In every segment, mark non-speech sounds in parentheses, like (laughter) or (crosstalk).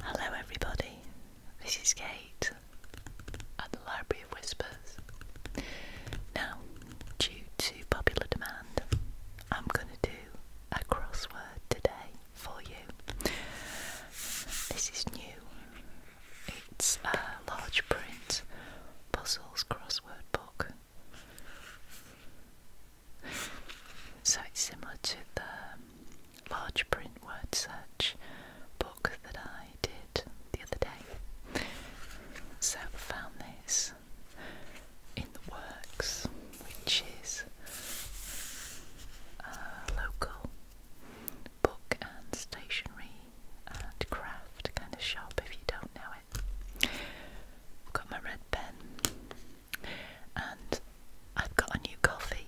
Hello, everybody. This is Kate at the Library of Whispers. Now, due to popular demand, I'm going to do a crossword today for you. This is new. It's a large print puzzles crossword book. So it's similar to the large print word search book that I did the other day. So I found this in the works, which is a local book and stationery and craft kind of shop if you don't know it. got my red pen and I've got a new coffee.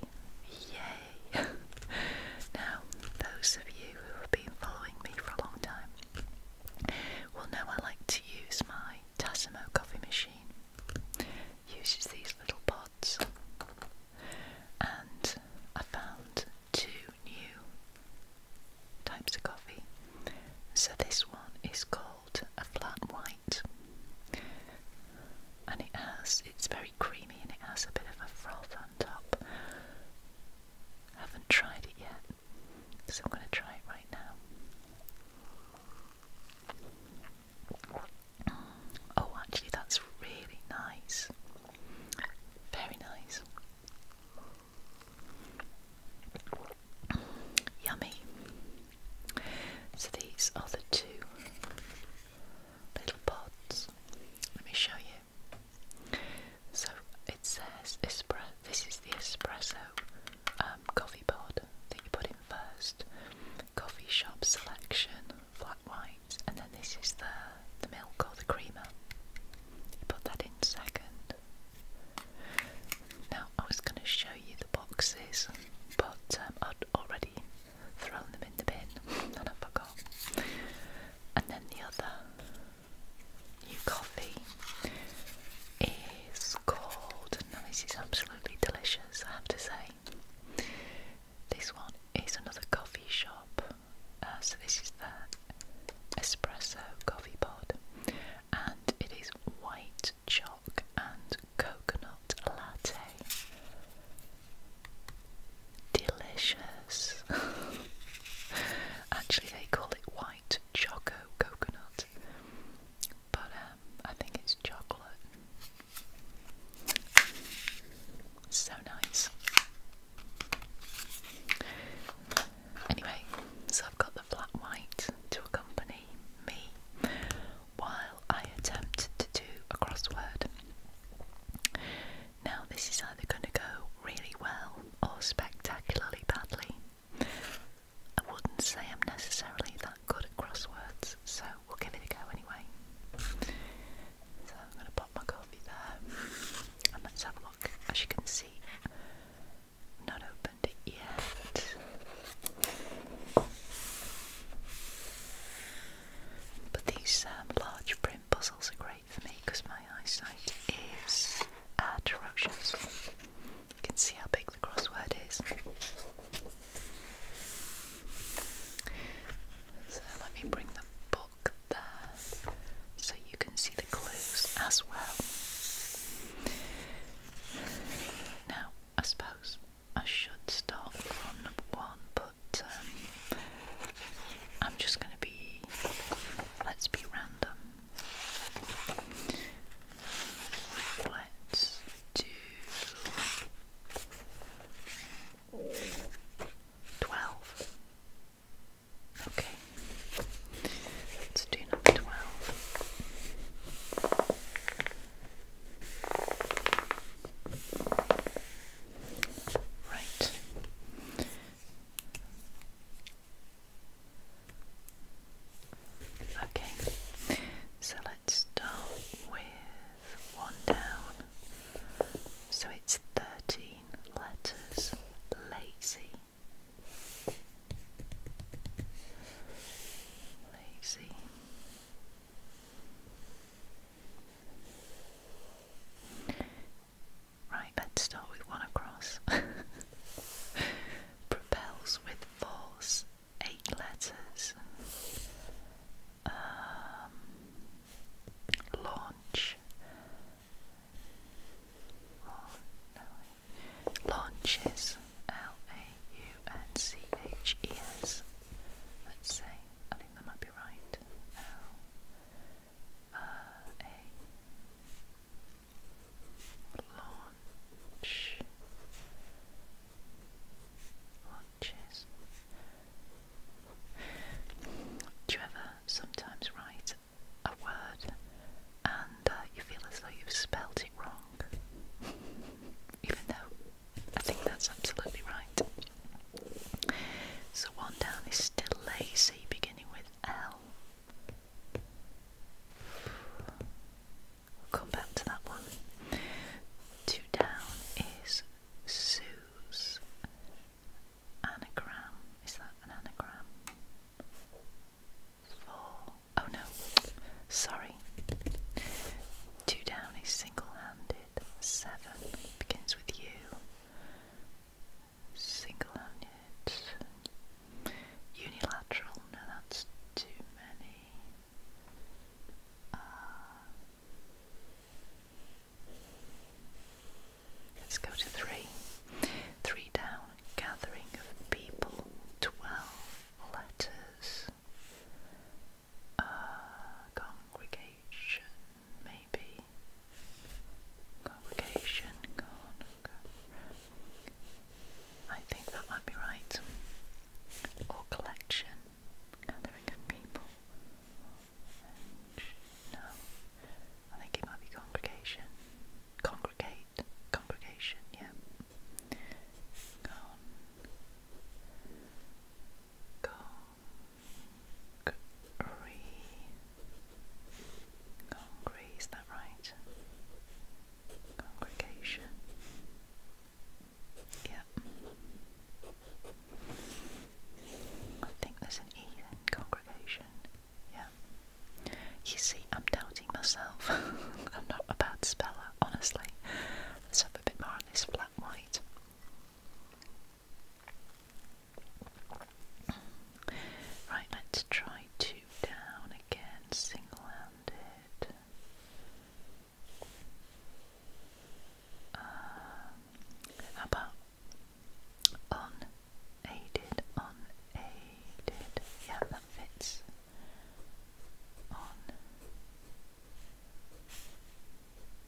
Yay! (laughs) now, those of you who have been following me for a long time will know I like to use my Tassimo coffee machine. Uses these little pods, and I found two new types of coffee. So this one is called a flat white. And it has, it's very creamy and it has a bit of a froth on top. haven't tried it yet, so I'm going to try it right now. Oh, actually, that's really nice. Very nice. Yummy. So these are the two little pods. Let me show you. So it says espresso. This is the espresso um, coffee pod that you put in first. Coffee shop selection, flat white, and then this is the the milk or the creamer. You put that in second. Now I was going to show you boxes, but um, I'd already thrown them in the bin (laughs) and I forgot. And then the other new coffee is called, and this is absolutely delicious, I have to say. This one is another coffee shop, uh, so this is the espresso coffee pod, and it is white chalk and coconut latte. Delicious. (laughs) Actually, they call it white choco coconut, but um, I think it's chocolate. So nice. Anyway, so I've got the flat white to accompany me while I attempt to do a crossword. Now, this is either going to go really well or spectacularly badly. I wouldn't say I'm necessarily that good at crosswords, so we'll give it a go anyway. So I'm going to pop my coffee there and let's have a look. As you can see, not opened it yet. But these um, large print puzzles are great for me because my eyesight is atrocious. You can see how big the crossword is. So let me bring the book there so you can see the clues as well. Now, I suppose I should start from number one, but um, I'm just going to be. Let's be random. Let's do. 12. Okay. Let's do number 12. Right. Okay, so let's start with one down. So it's 13 letters lazy. Lazy. Right, let's start with one across. (laughs) Propels with force, eight letters. Um, launch. Launches, L A U N C H E S. Let's see, I think that might be right. Launch Launches. Do you ever sometimes write a word and uh, you feel as though you've spelled wrong. Even though I think that's absolutely right. So one down is still lazy, beginning with L. We'll come back to that one. Two down is Sue's anagram. Is that an anagram? four. Oh no, sorry. Two down is single handed. Seven begins with you. Single handed. Unilateral. No, that's too many. Uh, let's go to three. Three down gathering of people, twelve letters, congregation, maybe. Congregation, go I think that might be right. Or collection, gathering of people. no, I think it might be Congregation congregation, yeah. Con, is that right? Congregation, yeah. I think there's an E in congregation, yeah. You see, I'm doubting myself. (laughs) I'm not a bad speller, honestly. Let's have a bit more on this flat white. Right, let's try two down again, single handed. Um, how about unaided, unaided? Yeah, that fits on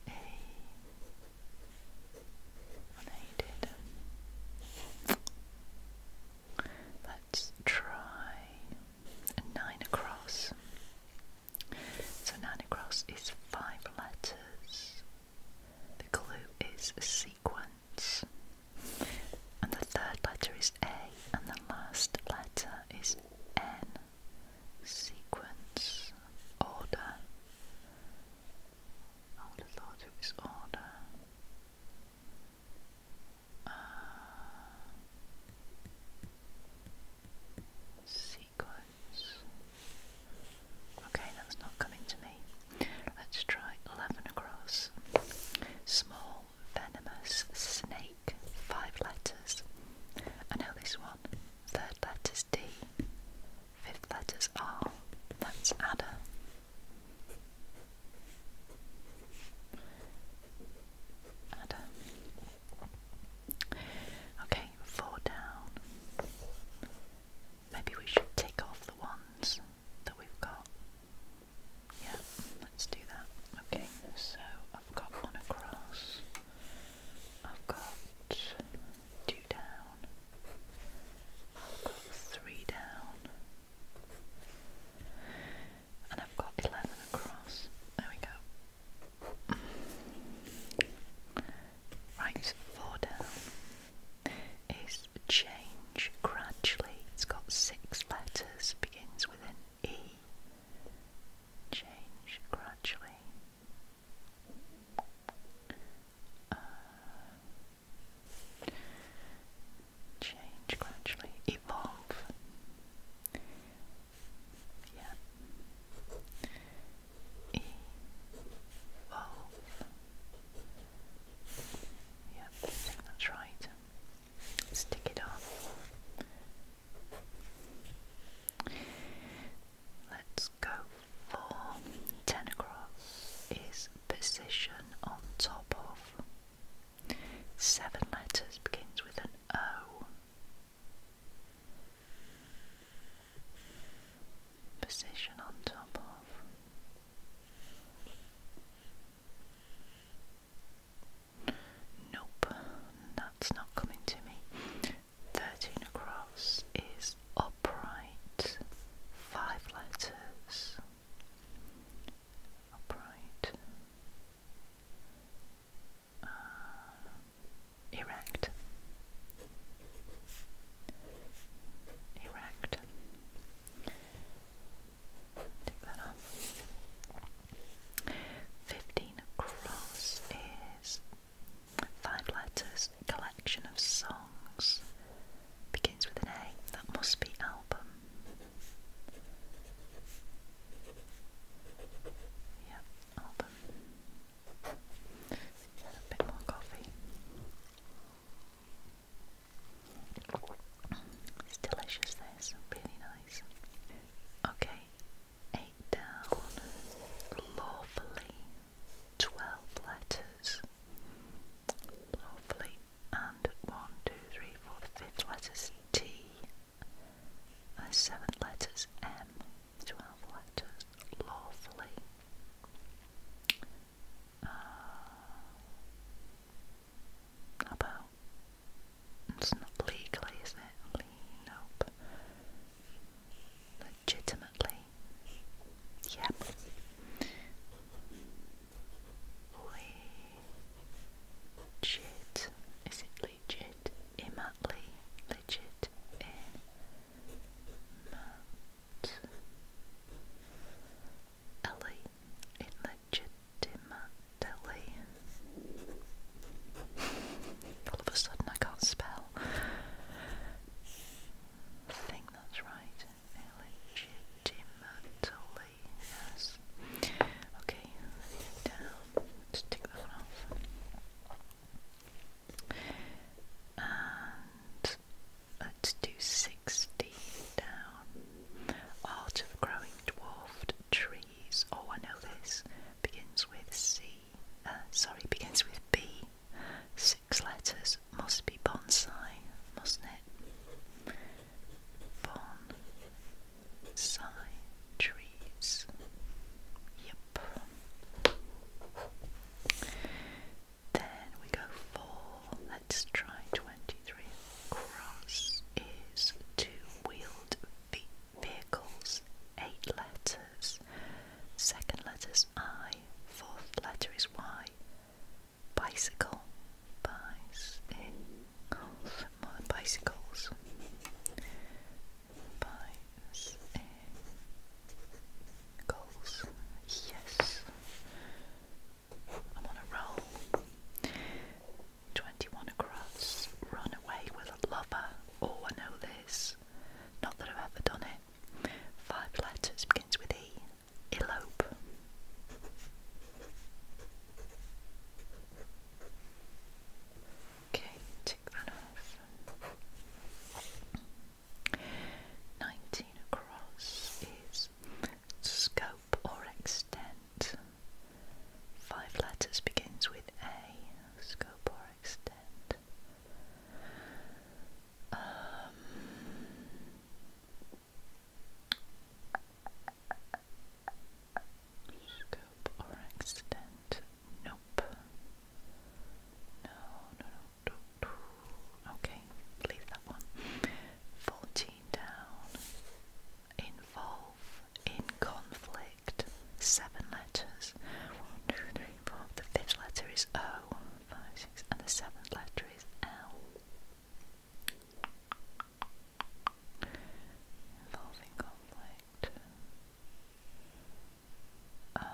a unaided. Let's try nine across. So nine across is five letters. The clue is sequence. And the third letter is A, and the last letter is N. Sequence, order. I would have thought it order. Uh, sequence. Okay, that's not coming to me. Let's try 11 across. Small, Venomous Snake, five letters. I know this one. Third letter's D, fifth letter's R. That's adder. Adder. Okay, four down. Maybe we should tick off the ones that we've got. Yeah, let's do that. Okay, so I've got one across, I've got two down, I've got three down, and I've got 11 across. There we go. Right, four down is change gradually. It's got six letters, begins with an E. Change gradually. Uh, change gradually. Evolve. Yeah. Evolve. Yep, that's right stick it on. Let's go for 10 across is position on top of. Seven letters begins with an O. Position on top of. Nope, that's not coming to me. 13 across is upright, five letters. Upright. Uh, erect. Erect. 15 across is five letters, collection of songs. Begins with an A. That must be album. Yep, album. A bit more coffee. It's delicious this, really nice. Okay, eight down. Lovely. Twelve letters. Lovely. And one, two, three, four, letter's T. And the uh, seventh letter's M. Twelve letters. Lovely. Uh, it's not legally, is it? nope. Legitimately. Yep. Legit. Is it legit? Immatly. Legit. Immat illegitimately. All of a sudden, I can't spell. I think that's right. Illegitimately, yes. Okay, down. Just take that off. Let's do 60 down. Art of growing dwarfed trees. Oh, I know this. Begins with C. Uh, sorry, begins with B. Six letters. Must be bonsai, mustn't it? Bonsai trees. Yep. Then we go for Let's try 23. Cross is two-wheeled vehicles, eight letters. Second letter's I, fourth letter is Y. Bicycle, bicycles, bicycles, bicycles. Yes. I'm on a roll. 21 across. Run away with a lover. Oh, I know this. Not that I've ever done it. Five letters begins with E. Elope. Okay, tick that off. Nineteen across is scope or extent. Five letters begins with A, scope or extent. Um, scope or extent? Nope. No, no, no. Okay, leave that one. 14. Involve in conflict. Seven letters. One, two, three, four. The fifth letter is O. One, five, six, and the seventh letter is L. Involving conflict. Um,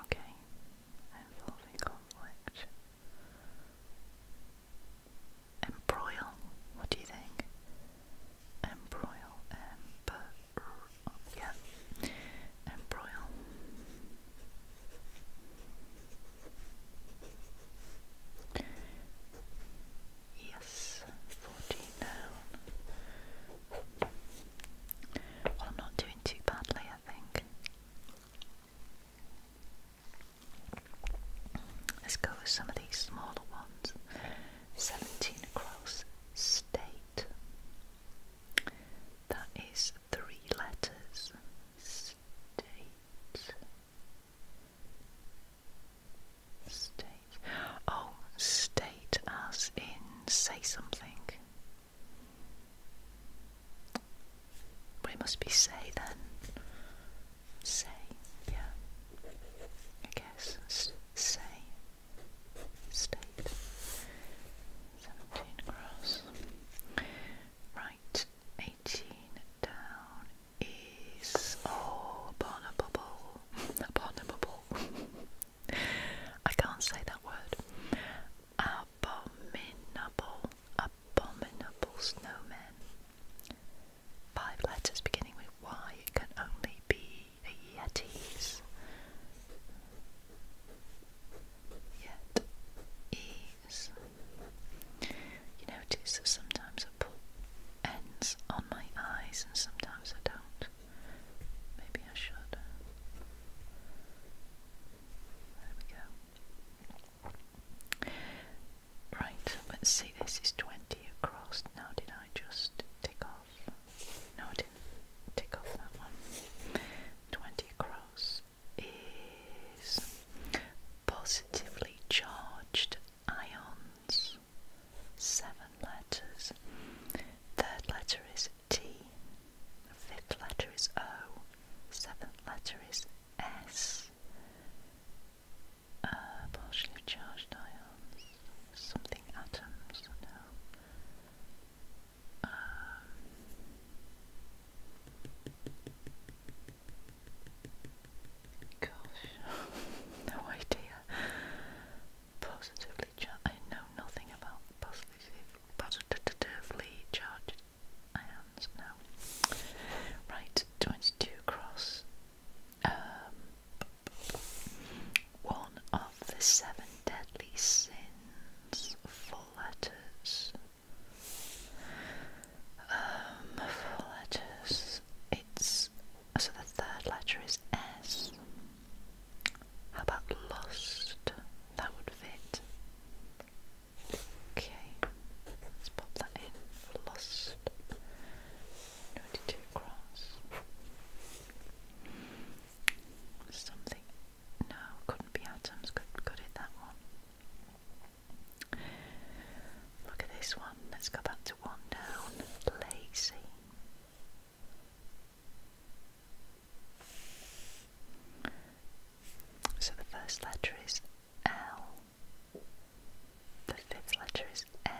Okay, involving conflict. Embroil, what do you think? Embroil, yeah, embroil. Yes, 14 down. Well, I'm not doing too badly, I think. Let's go with some of these smaller ones. 17 across, state. That is three letters. State. State. Oh, state as in say something. We must be say then. Say, yeah. I guess. S say. State. 17 across. Right, 18 down is. all upon a bubble abominable. (laughs) I can't say that word. Abominable, abominable snowmen. Five letters beginning with Y. can only be a Yetis. Yet is. You notice sometimes I put ends on my eyes, and sometimes I don't. Maybe I should. There we go. Right, let's see, this is 20 across. Now, did I just tick off? No, didn't tick off that one. 20 across is positively charged ions. Seven letters. Third letter is T. Fifth letter is O. Seventh letter is S. Uh, partially charged ions. Something atoms. Gosh, no idea. Positively charged. I know nothing about positive, positively charged ions now. Right, 22 across. Um, one of the seven deadly sins. Full letters. Um, full letters. It's so the third letter is S. How about lost? That would fit. Okay, let's pop that in. Lost. 22 across. Something. No, couldn't be atoms. Could, could it that one? Look at this one. Let's go back one down, lazy. So the first letter is L, the fifth letter is A,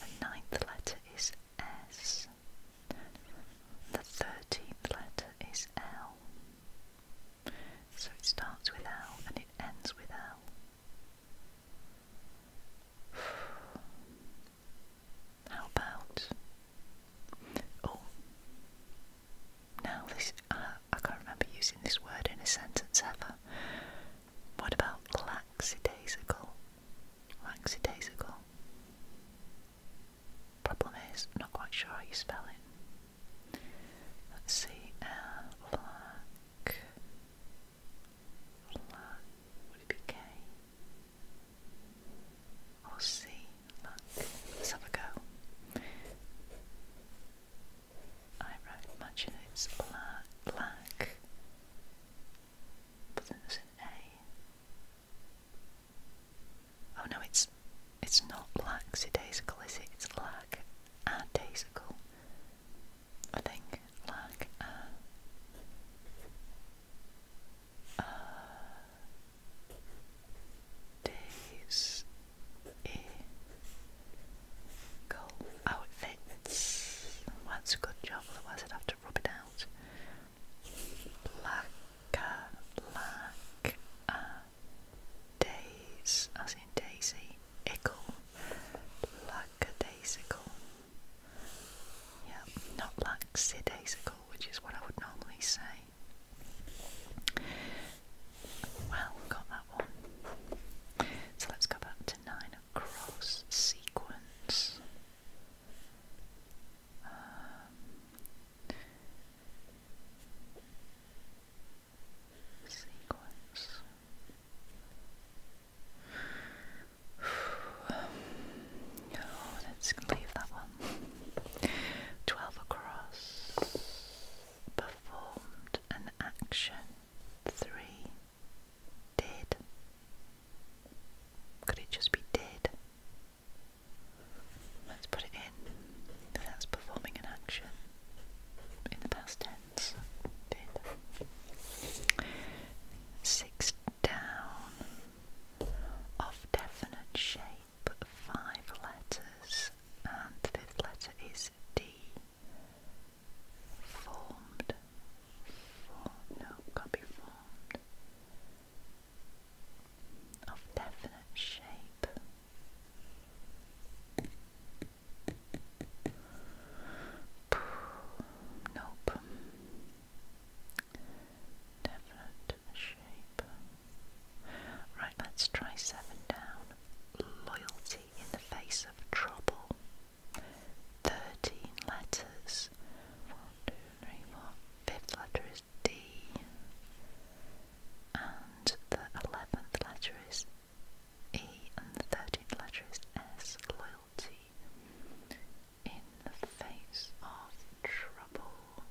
the ninth letter is S, the thirteenth letter is L. So it starts with L and it ends with L. (sighs) How about? Oh, now this uh, I can't remember using this word in a sentence ever. What about lackadaisical? Lackadaisical. Problem is, I'm not quite sure how you spell it. Let's see, uh, Flat would it be K? Or C? let's have a go. I imagine it's black, black, but then there's A. Oh no, it's it's not lackadaisical, is it? It's lackadaisical. I think like uh, uh, days a goal. Oh, it a good job, otherwise I'd have out. Like uh, a, days, as in Daisy, ickle, like like Yeah, not like sidasical, which is what I would normally say. Well, got that one. So let's go back to nine across sequence. Um, let's leave that one. Twelve across performed an action. Three did. Could it just be did? Let's put it in. That's performing an action in the past tense. Six down of definite shape, five letters, and the fifth letter is D. Formed. no, can't be formed. Of definite shape. Nope. Definite shape. Right, let's try seven down. Loyalty in the face of trouble. Thirteen letters. One, two, three, four. Fifth letter is D. And the eleventh letter is E and the 13th letter is S, loyalty. In the face of trouble.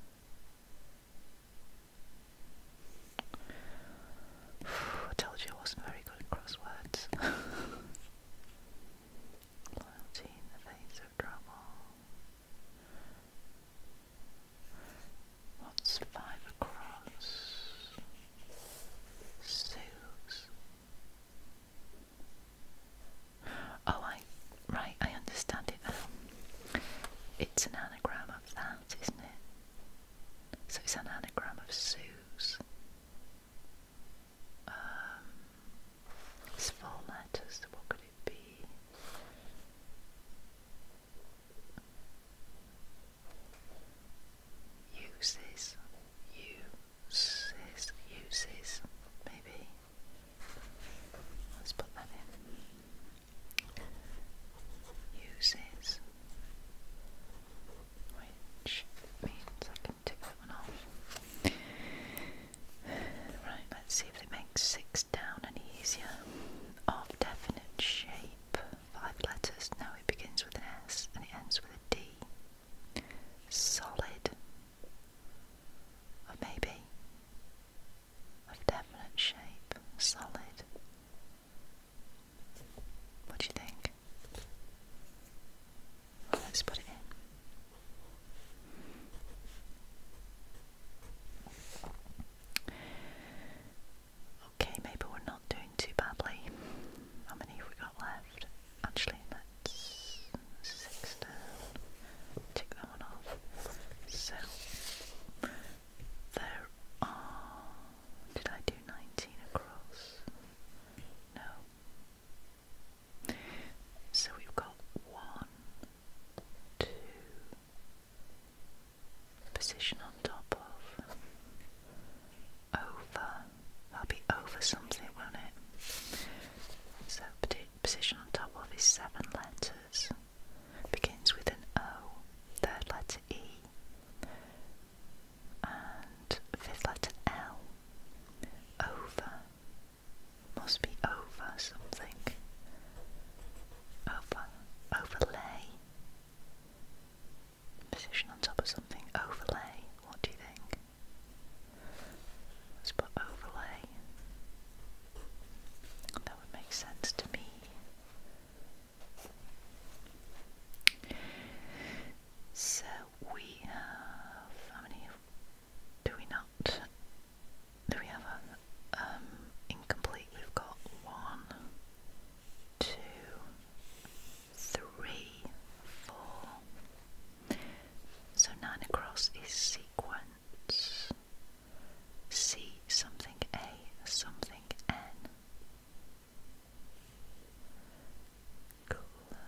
(sighs) I told you I wasn't very good at crosswords. (laughs) Loyalty in the face of trouble. What's five across? Soothes. Oh, I right, I understand it It's an anagram of that, isn't it? So it's an anagram of Suze. Um, it's four letters. What could it be? uses, uses, uses, maybe. Let's put that in. Uses, which means I can tick that one off. Right, let's see if it makes six down any easier. Of definite shape five letters. Now it begins with an S and it ends with a D. Solid. Of maybe. Of definite shape. Solid. What do you think? let's put it in. Okay, maybe we're not doing too badly. How many have we got left? Actually, that's six down. Tick that one off. So, there are. Did I do 19 across? No. So we've got one, two, position on top of, over, that'll be over something won't it? So position on top of is seven letters, begins with an O, third letter E, and fifth letter L, over, must be over something, over, overlay position on top of something. Overlay, what do you think? Let's put overlay. That would make sense to me. So we have how many do we not do we have a um, incomplete we've got one two, three, four. So nine across is sequence. C something A something N. Cool.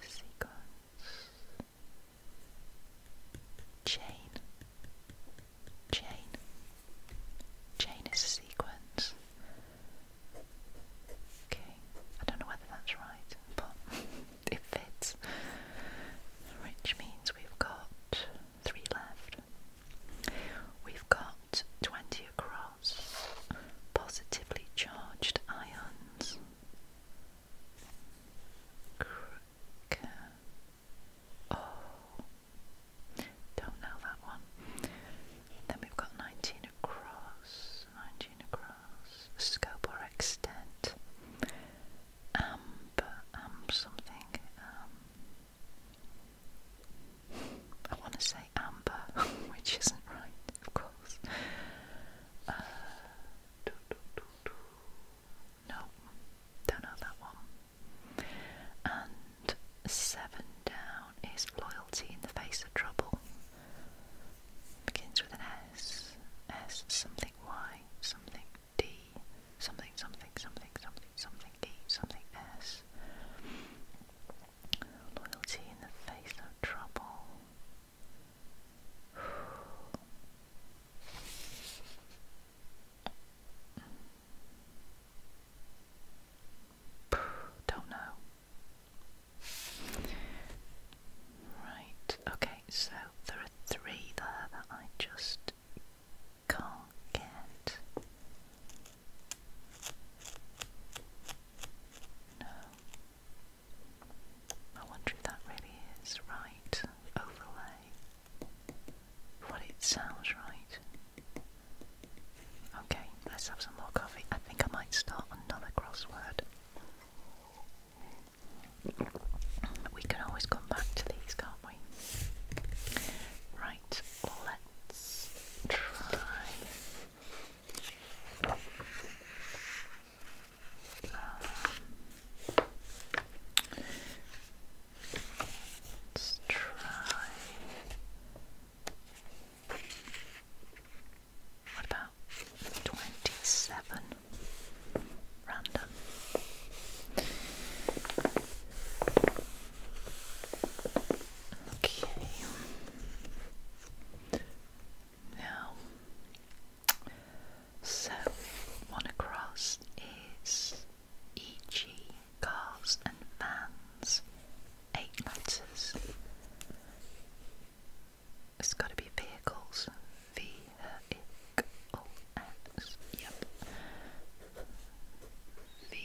Sequence. Chain chain. Chain is a sequence. Okay, I don't know whether that's right, but (laughs) it fits. Which means we've got three left. We've got 20 across positively charged ions. Cr Oh, don't know that one. Then we've got 19 across, 19 across, scope or extent, amber, um something, um, I want to say amber, (laughs) which isn't right, of course. Uh, no, don't know that one. And seven down is loyalty in the face of trouble. Begins with an S. S something Y, something D, something, something, something, something, something D, something S. Loyalty in the face of trouble. Don't know. Right, okay, so there are three there that I just can't get. No. I wonder if that really is right. Overlay what it sounds right. Okay, let's have some more coffee. I think I might start another crossword. We can always come back to these, can't we? Right, let's try. Um, Let's try. What about twenty-seven? Random. Okay. Now, so one across is e.g., cars and vans, eight letters. It's got to be vehicles. V -E -C -O -S. Yep. V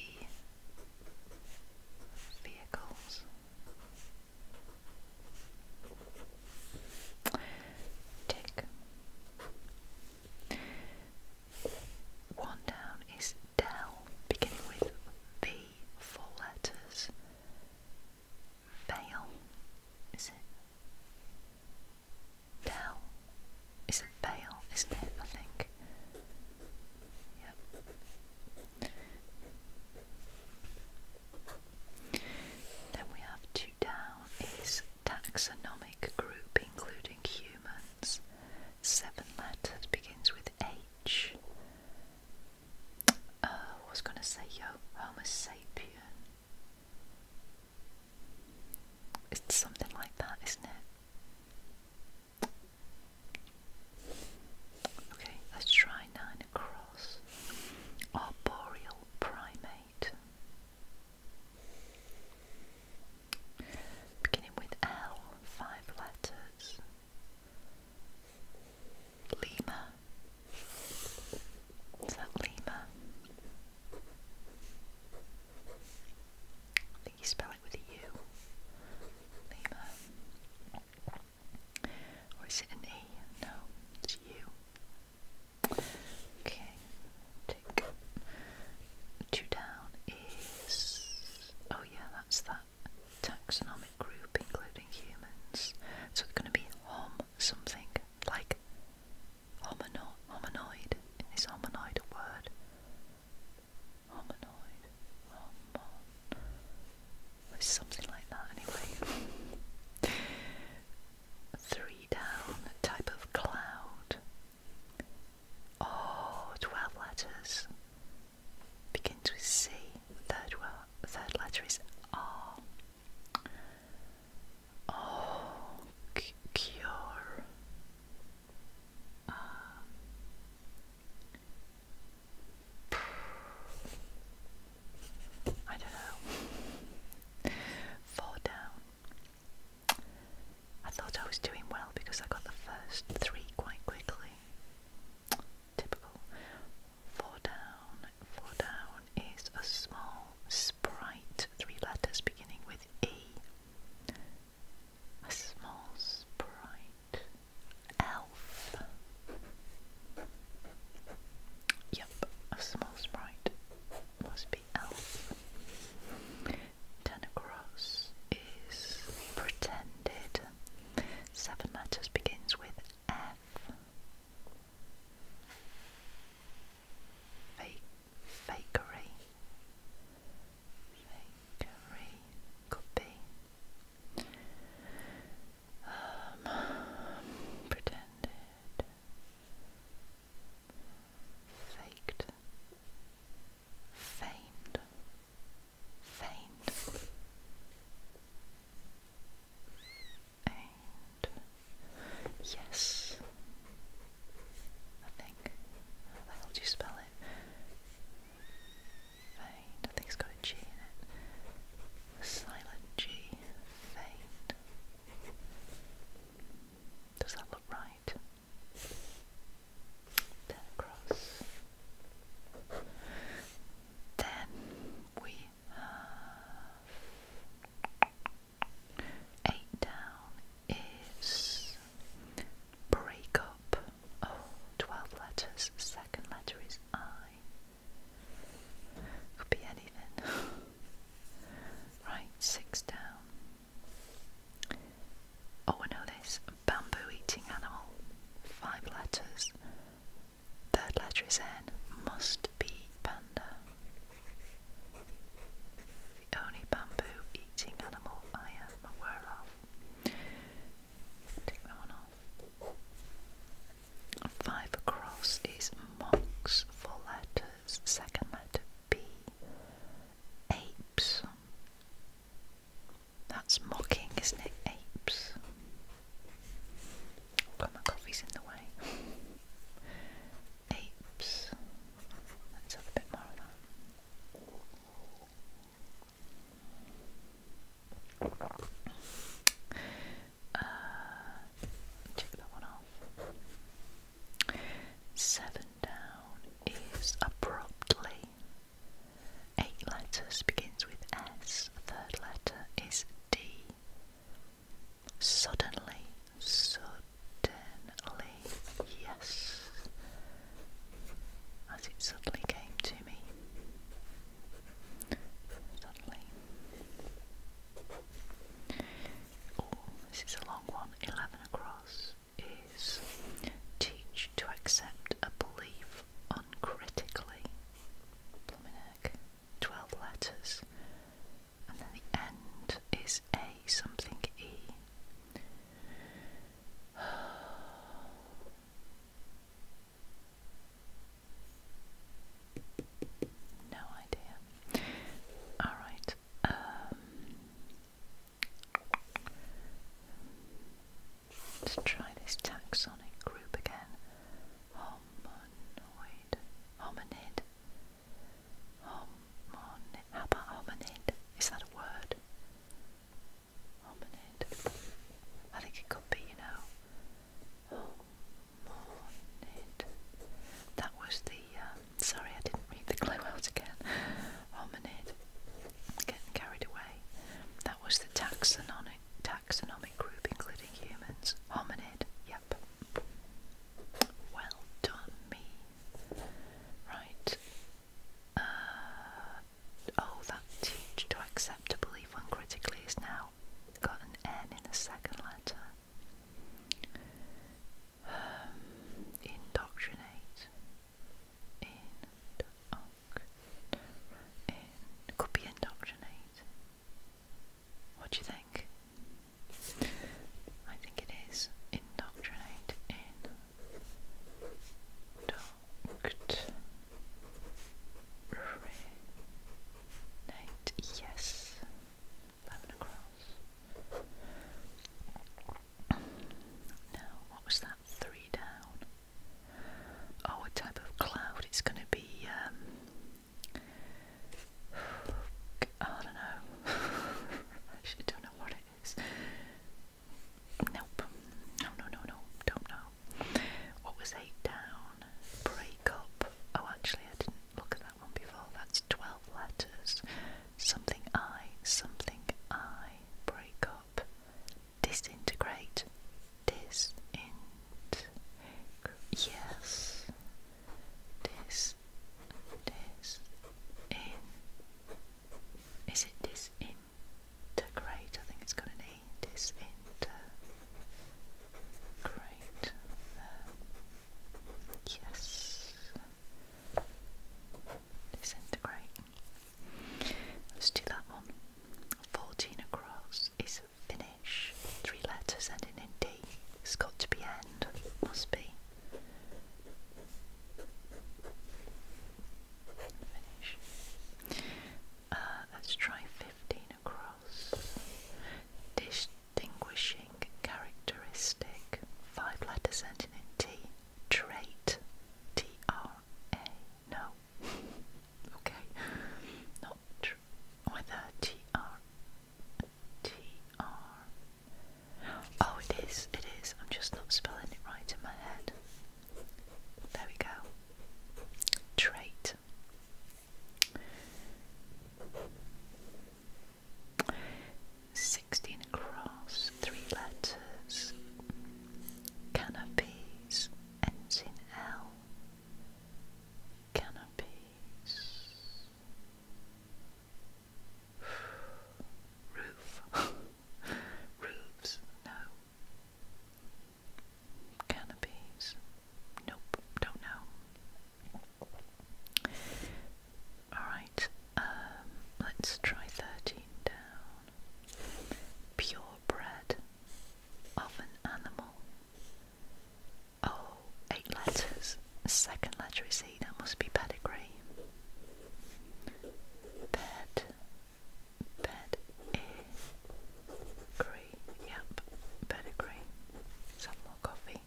vehicles. Tick. One down is Dell, beginning with V, four letters. Veil, is it? Dell. Is it Veil, isn't it? I think. Yep. Then we have two down is taxonomic group including Hu Seven letters begins with H. Uh, was going to say Homo sapien. It's something like that, isn't it? Okay, let's try nine across. Arboreal primate. Beginning with L, five letters. Lima. Is that Lima? think you spell it with a U. Lima. Or it an E? No, it's U. Okay, two down is oh yeah, that's that taxonomic group including humans. So it's gonna be hom something like homino hominoid. Is hominoid a word? Hominoid. Homon. something like that anyway. Three down, type of cloud. Oh, 12 letters. Begins with C. Third, well, third letter is R. Oh, cure. Um, (sighs) I don't know. Fall down. I thought I was doing well because I got the first three quite quickly. Typical. Four down. Four down is a small sprite, three letters beginning with E. A small sprite. Elf. Yep, a small sprite. Must be Ten across is pretended. Seven letters begins with F. Fake, fakery. Fakery could um, be. pretended faked, feigned, feigned, and yes, I think. How do you spell it? Feigned. I think it's got a G in it. silent G. Feigned. Does that look right? right, across. Then we eight down is break up. 12 letters. Second letter is I. Could be anything. (laughs) right, six down. Oh, I know this. Bamboo eating animal. Five letters. Third letter is N. Must be panda. The only bamboo eating animal I am aware of. Take that one off. Five across is mox. Four letters. Second letter B apes. That's mocking, isn't it? Apes. Oh my coffee's in the way. Apes. Let's have a bit more of that. Uh, check that one off. Seven down is abruptly. Eight letters begins with S, third letter is D. Suddenly, suddenly, yes, as it suddenly came to me. Suddenly or this is a long one, 11 across, is teach to accept a belief uncritically. Plumbing 12 letters. And then the end is A something E. (sighs) No idea. Alright, um, let's try this taxonic group again. Homonoid, hominid, homonid. How about hominid? Is that a word? Hominid. I think it could be, you know. Homonid. That was the um, Sorry, I didn't read the clue out again. Hominid, getting carried away. That was the taxonomic taxonomic group, including humans. Hominid, yep. Well done, me. Right. Uh, oh, that teach to accept to believe uncritically is now got an N in the second letter um, indoctrinate, indoctrinate, could be indoctrinate. What do you think? I think it is indoctrinate in yes, now, what was that? Three down. Oh, a type of cloud. It's going to be. Um, (sighs) I don't know. (laughs) actually don't know what it is. Nope. No, no, no, no. Don't know. What was eight down? Break Oh, actually, I didn't look at that one before, that's 12 letters. Something I, something I, break up, disintegrate, disint, yes, dis, dis, in, is it disintegrate? I think it's got an disintegrate. Yes. Disintegrate. Let's do that one. 14 across is finish. Three letters ending in D. It's got to be end. Must be. Finish. Uh, let's try 15 across. Dish distinguishing characteristic, five letters ending in T, trait, T R A, no, (laughs) okay, not tr with a T R, T R, oh, it is, it is, I'm just not spelling it right in my head. There we go. Trait. 16 across, three letters, canopies, ends in L, canopies, (sighs) roof, (laughs) roofs, no, canopies, nope, don't know. Alright, um, let's try 13 down. Purebred of an animal. Oh, eight letters. Second letter is E, that must be pedigree. Ped, ped, e, gree, yep, pedigree. Some more coffee.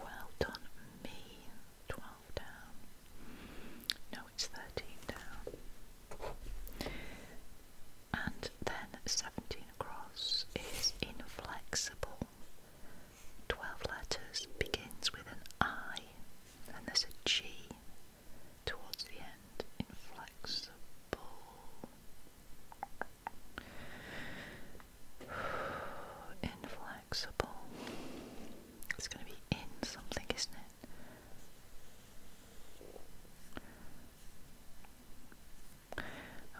Well done, me. 12 down. No, it's 13 down. And then 17 across is inflexible. 12 letters begins with an I, and there's a G towards the end, inflexible, (sighs) inflexible. It's going to be in something, isn't it?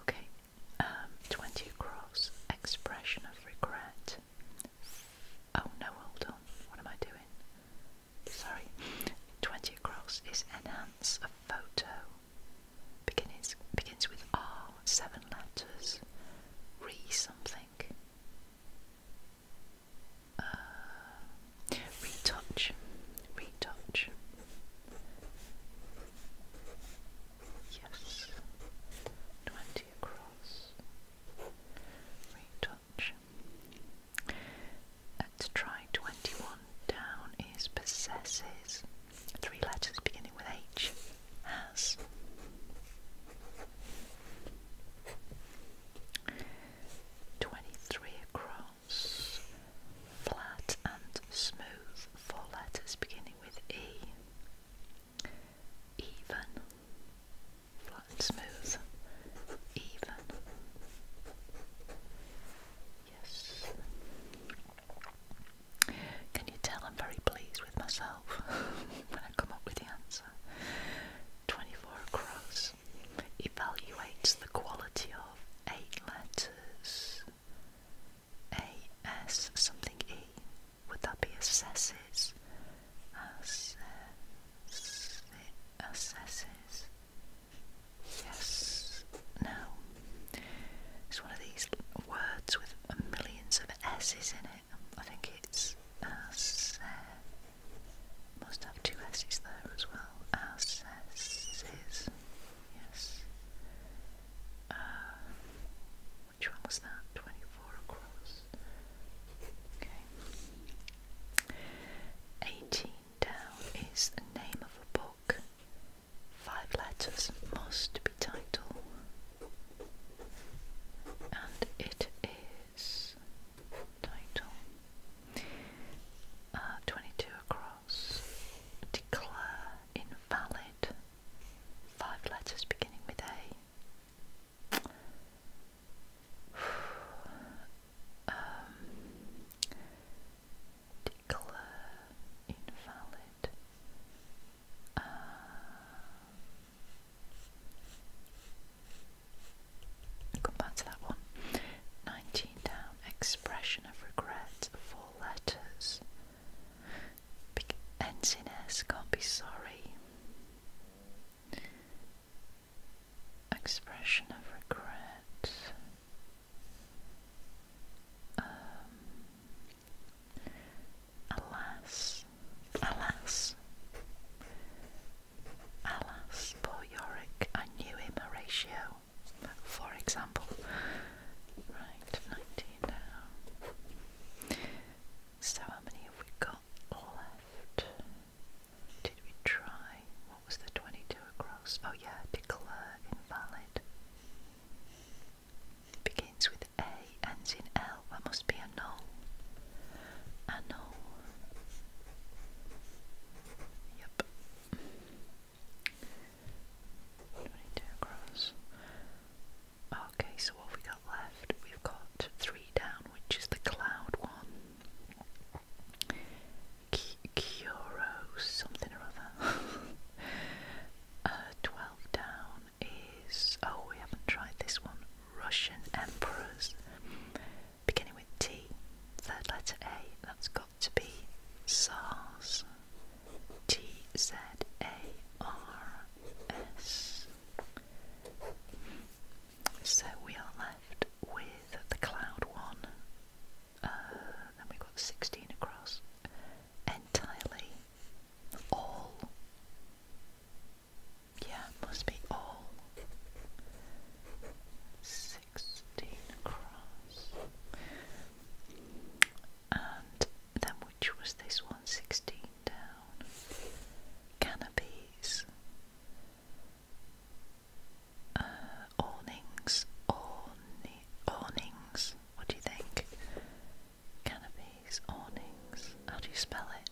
Okay, um, 20 across, expression of regret. Oh no, hold on, what am I doing? sorry, 20 across is enhance a photo. Begins, begins with R, seven letters, re something. Uh, retouch, retouch. Yes, twenty across. Retouch much. Let's try 21 down is possesses. Three letters beginning with H. Has. Twenty-three across, flat and smooth, four letters beginning with E. Even, flat and smooth, even. Yes. Can you tell I'm very pleased with myself (laughs) when I come up with the answer? 24 across evaluates the quality of eight letters. A, S, something E. Would that be assesses? Assess, assesses. Yes. No. It's one of these words with millions of S's in it. I think it's as. Must have two S's there as well. As Yes. Uh, which one was that? 24 across. Okay. 18 down is the name of a book. Five letters must be title, and it is title uh, 22 across. Declare invalid. Five letters beginning with A um, invalid uh, back to that one 19 down expression of regret four letters ends in S can't be sorry expression of regret. Um, alas, alas, alas, poor Yorick, I knew him, Horatio, for example. Right, 19 now. So, how many have we got left? Did we try? What was the 22 across? Oh yeah, declare invalid. Begins with A, ends in L. That must be a null. Yep. 22 across. Okay, so what we got left? We've got three down, which is the cloud one. Kyoro something or other. (laughs) Uh, 12 down is. Oh, we haven't tried this one. Russian Emperors. Beginning with T, third letter A, that's got to be SARS. T Z A R S. So we are left with the cloud one, uh, and we've got 16 across, entirely, all, yeah, must be all, 16 across, and then which was this one, 16 down, canopies, uh, awnings, awnings. What do you think? Canopies, awnings. How do you spell it?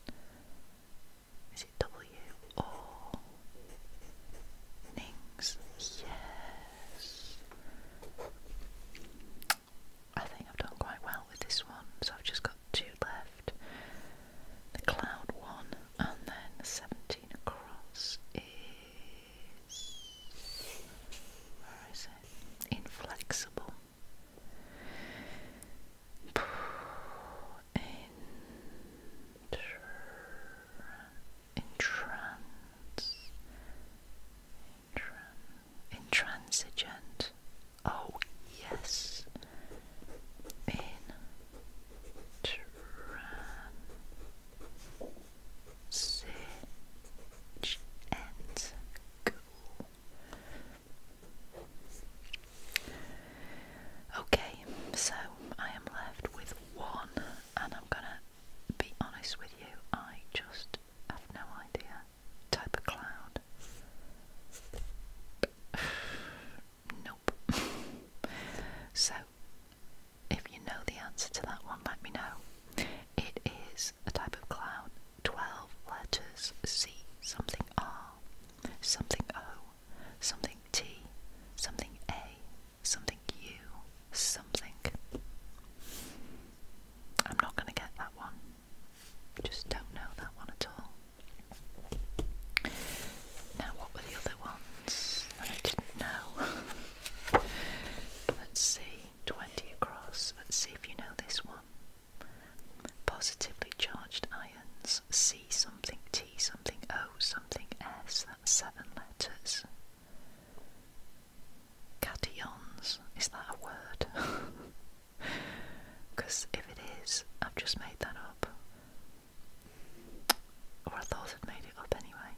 Is it W or Nings? Yes. I think I've done quite well with this one, so I've just got two left the cloud one, and then 17 across is, where is it? Inflexible. Entrance. Intransigent. Oh, yes in Transage Okay, so I am left with one, and I'm gonna be honest with you, I just have no idea. Type of cloud. Nope. (laughs) so, if you know the answer to that one, let me know. It is a type of cloud. 12 letters C, something R, something O, something T, something A, something U, something. I'm not going to get that one. Just don't know that one at all. Now, what were the other ones I didn't know? (laughs) Let's see, 20 across. Let's see if you know this one. Positively charged ions C something, T something, O something, S. That's seven letters. Cations, is that a word? Because (laughs) if it is, I've just made that up. Or I thought I'd made it up anyway.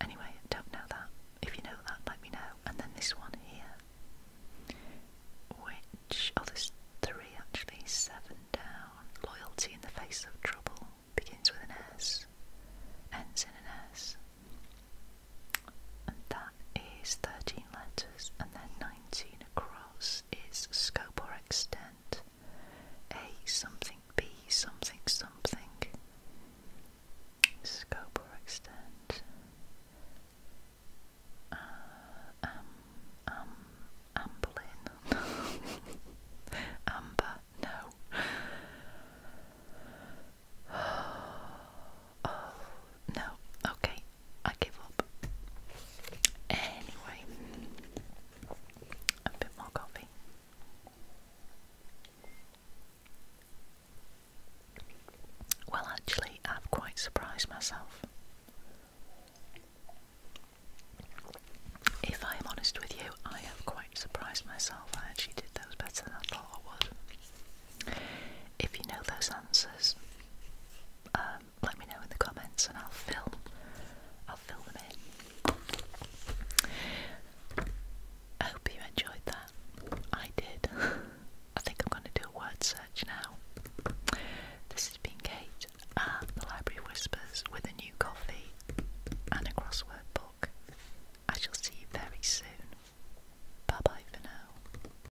Anyway, don't know that. If you know that, let me know. And then this one here. Which, oh there's three actually, seven down. Loyalty in the face of trouble begins with an S, ends in an S. And that is 13 letters, and then 19 across is scope or extent. A something B something something scope or extent uh, um, um, amblin (laughs) amber, no (sighs) oh, no, okay, I give up anyway a bit more coffee. Well, actually, i am quite surprised myself. If I am honest with you, I am quite surprised myself. I actually did those better than I thought I would. If you know those answers, uh, let me know in the comments and I'll film I'll fill them in. I hope you enjoyed that. I did. (laughs) I think I'm going to do a word search now. This has been Kate at the Library Whispers with a new coffee and a crossword book. I shall see you very soon. Bye bye for now.